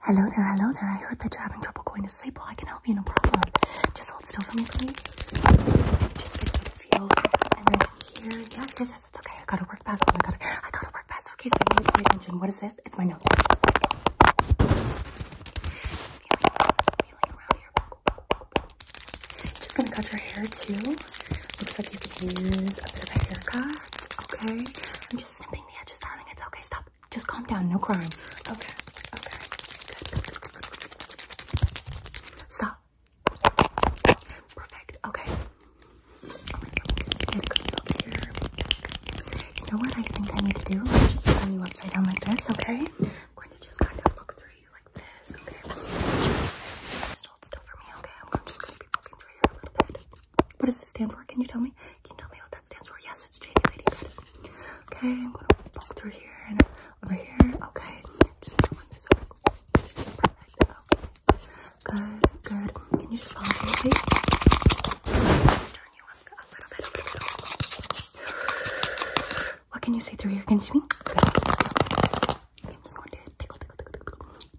Hello there, hello there. I heard that you're having trouble going to sleep. Well, I can help you, no problem. Just hold still for me, please. Just get a feel and then here. Yes, yes, it's okay. I gotta work fast. Oh my god, I gotta work fast. Okay, so you need to pay attention. What is this? It's my nose. feeling, around here. Just gonna cut your hair too. Looks like you could use a bit of haircut. Okay, I'm just snipping the edges, darling. It's okay. Stop. Just calm down. No crying. Okay. Okay. Good. good, good, good. Stop. Perfect. Okay. Oh my god. Good. Good look here. You know what I think I need to do? I'm just turn you upside down like this, okay? I'm going to just kind of look through you like this, okay? Just, just hold still for me, okay? I'm just going to be looking through you a little bit. What does it stand for? Can you tell me? Can you tell me what that stands for? Yes, it's JD Lady. Okay, I'm gonna poke through here and over here. Okay, just gonna run this over. Good, good. Can you just follow me, please? Turn you up a little bit, What can you say through here? Can you see me? I'm just going to tickle, tickle, tickle, tickle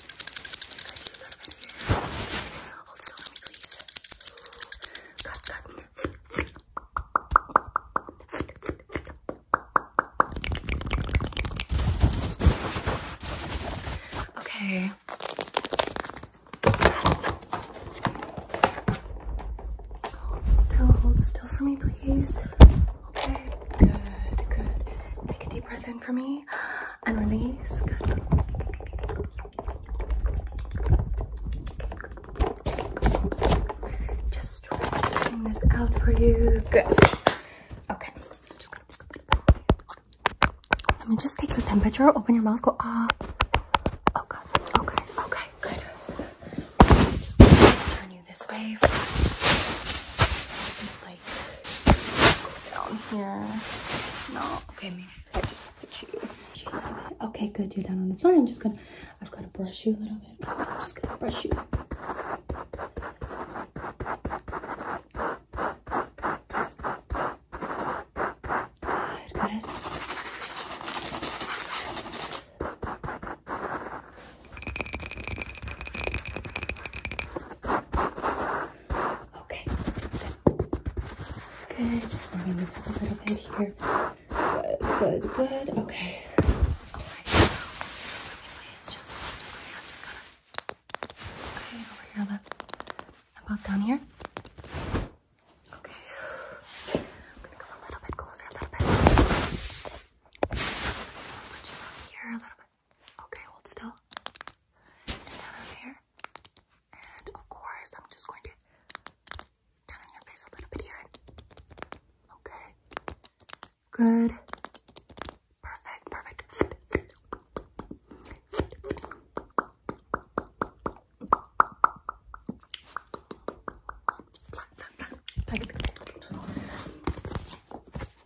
Okay. Hold still, hold still for me, please. Okay, good, good. Take a deep breath in for me. And release. Good. Just stretching this out for you. Good. Okay. Let me just take your temperature. Open your mouth. Go up. Oh Okay. Okay. Good. Just turn you this way okay, good. You're down on the floor. I'm just gonna. I've gotta brush you a little bit. I'm just gonna brush you. Good, good. Okay, good. Good, just warming this up a little bit here. Good, good, good. Okay. Okay. It's just Okay, over here, left. About down here. Okay. I'm gonna go a little bit closer, a little bit. Put you up here a little bit. Okay, hold still. And down over here. And of course, I'm just going to down your face a little bit here. Okay. Good. Perfect, perfect.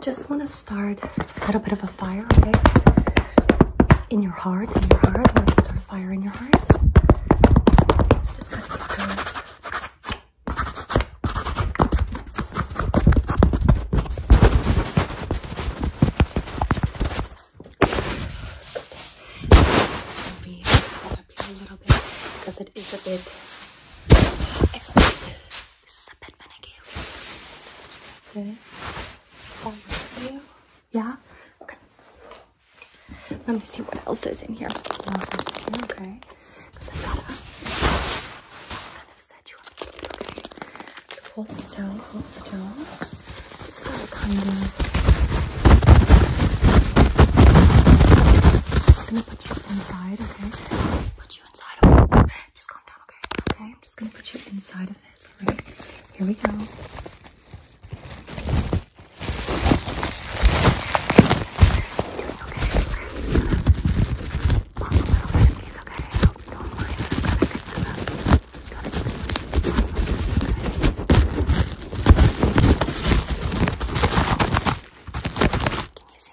just want to start a little bit of a fire, okay? In your heart, in your heart. want to start a fire in your heart. Just gonna keep going. Let me set up here a little bit because it is a bit. It's a bit. This is a bit finicky. Okay. Over you. Yeah? Okay. Let me see what else is in here. Okay. hold still, hold still. It's got to kind of... going to put you inside, okay? Put put you inside of it. Just calm down, okay? Okay, I'm just gonna put you inside of this, alright? Here we go. Doing okay. I'm just gonna pop a little bit of these, okay? I hope you don't mind. I've got a good amount. Got a good amount. Okay. Can you see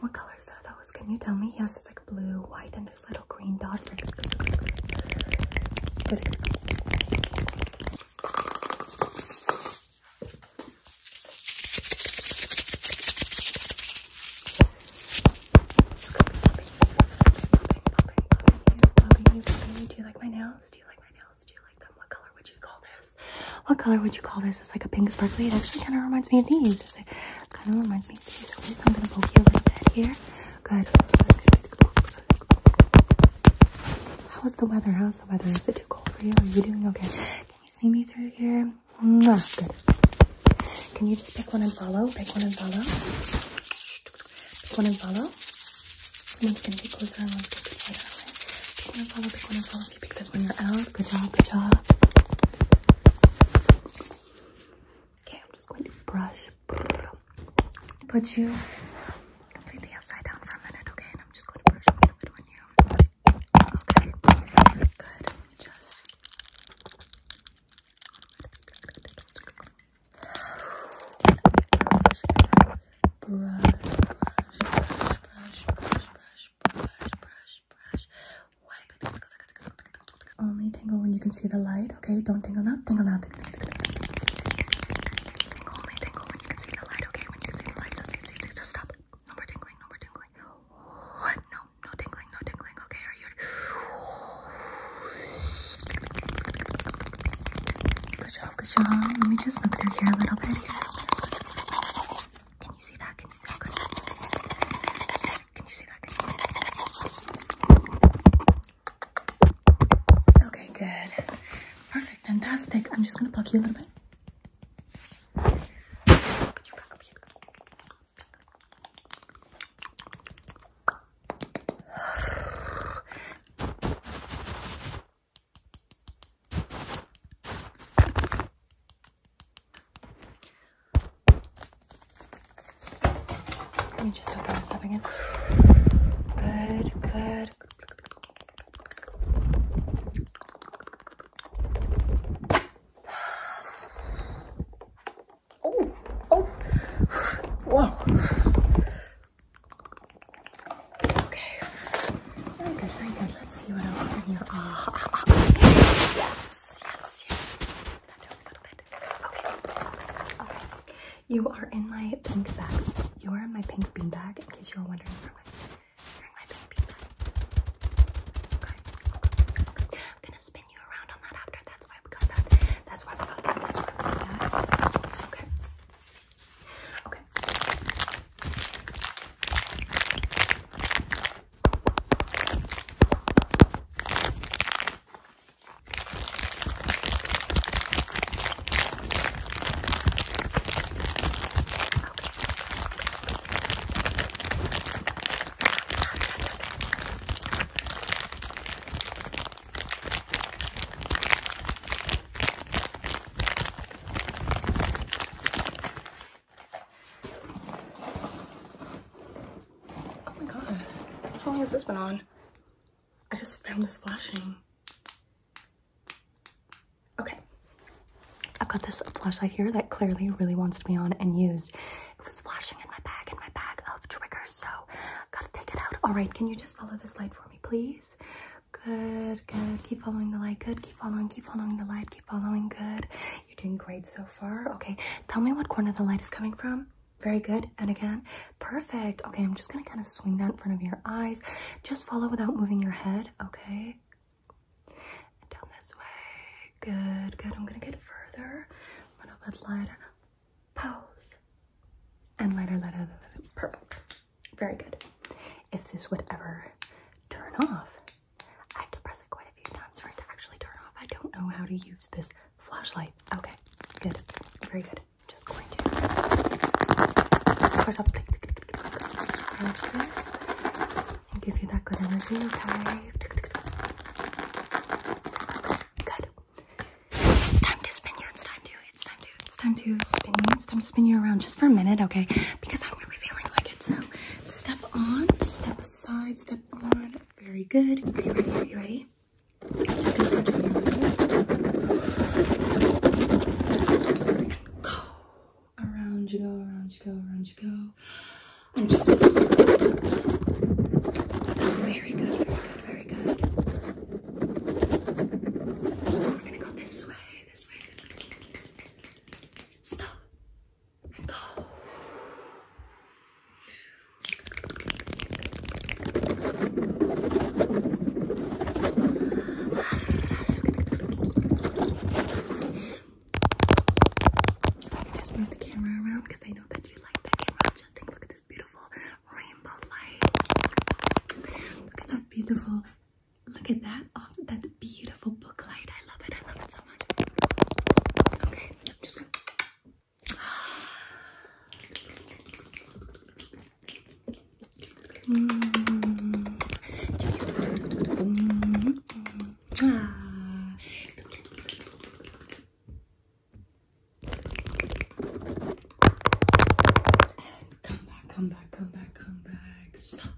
What colors are those? Can you tell me? Yes, it's like blue, white, and there's little green dots. Do you like my nails? Do you like my nails? Do you like them? What color would you call this? What color would you call this? It's like a pink sparkly. It actually kind of reminds me of these. It kind of reminds me of these. so I'm gonna poke you like that here. Good. How is the weather? How's the weather? Is it too cold for you? Are you doing okay? Can you see me through here? Not good. Can you just pick one and follow? Pick one and follow. Pick one and follow. The one's gonna get closer and one's gonna get further away. Pick one and follow, pick one and follow. If you pick this one, you're out. Good job, good job. Okay, I'm just going to brush. Put you completely upside down for a minute, okay? And I'm just going to brush a little bit on you. Okay, good. Let me just. Good, good, good, good, good, good, good brush, brush, brush, brush, brush, brush, brush, brush. Wipe it. Only tingle when you can see the light, okay? Don't tingle now, tingle now. Tingle, tingle, only tingle when you can see the light, okay? When you can see the light, just, just, just, just stop. No more tingling, no more tingling. No, no tingling, no tingling, okay? Good job, good job. Let me just look through here a little bit. Can you see that? Can you see that? Can you see that? Can you see that? Okay, good. Perfect, fantastic. I'm just gonna pluck you a little bit. Let me just open this up again. Good, good. Oh, oh, wow. Okay. Very good, Let's see what else is in here. Ah, ah, ah, ah. yes, yes, yes. That a little bit. Okay, okay. You are in my pink bag. You are in my pink bean in case you were wondering where my, you my pink bean okay, okay. I'm gonna spin spin you around on that after. That's why we got that. That's why we got that. That's why we got that. Okay. Okay. Okay. Oh my god, how long has this been on? I just found this flashing. Okay, I've got this flashlight here that clearly really wants to be on and used it was flashing in my bag, in my bag of triggers, so gotta take it out. All right, can you just follow this light for me, please? Good, good. Keep following the light. Good. Keep following. Keep following the light. Keep following. Good. You're doing great so far. Okay. Tell me what corner the light is coming from. Very good. And again, perfect. Okay. I'm just going to kind of swing that in front of your eyes. Just follow without moving your head. Okay down this way. Good, good. I'm gonna get further, a little bit lighter. Pose and lighter, lighter, Perfect. Very good. If this would ever turn off, I have to press it quite a few times for it to actually turn off. I don't know how to use this flashlight. Okay, good. Very good. Just going to and give you that good energy, okay? Good. It's time to spin you. It's time to. It's time to. It's time to spin you. It's time to spin you around just for a minute, okay? Because I'm really feeling like it. So step on, step aside, step on. Very good. Are you ready? Are you ready? I'm just gonna switch over here. Go around you go, around you go, around you go. And just very good, very good, very good. We're gonna go this way, this way. Stop and go. Just move the camera around because I know that you like the camera adjusting. Look at this beautiful rainbow light. Look at that beautiful. Look at that. Oh, that beautiful book I love it. I love it so much. Okay, I'm just Ah. come back, come back, come back, come back. Stop.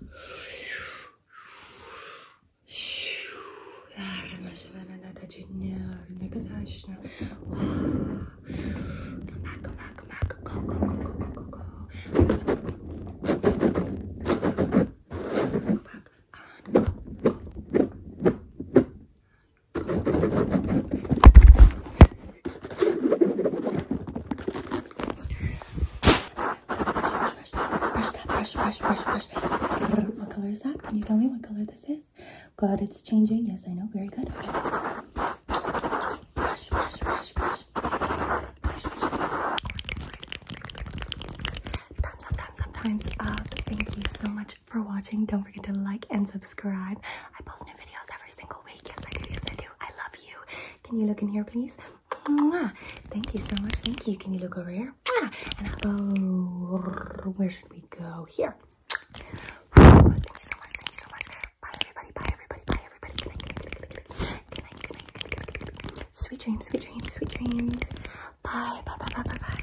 Ne kadar işte. Come back, come back, come back. Go, go, go, go, go, go, go. Brush, brush, brush, brush. What color is that? Can you tell me what color this is? God, it's changing. Yes, I know. Very good. Okay. Brush, brush, brush, brush. Times up, times up, Thank you so much for watching. Don't forget to like and subscribe. I post new videos every single week. Yes, I do. I love you. Can you look in here, please? Thank you so much. Thank you. Can you look over here? Where should we go? Here. Thank you so much. Thank you so much. Bye everybody, bye everybody, bye everybody. Good night, good night, good night, good night, good night, good night, good night, good night. Sweet dreams, sweet dreams, sweet dreams. Bye, bye, bye, bye, bye, bye.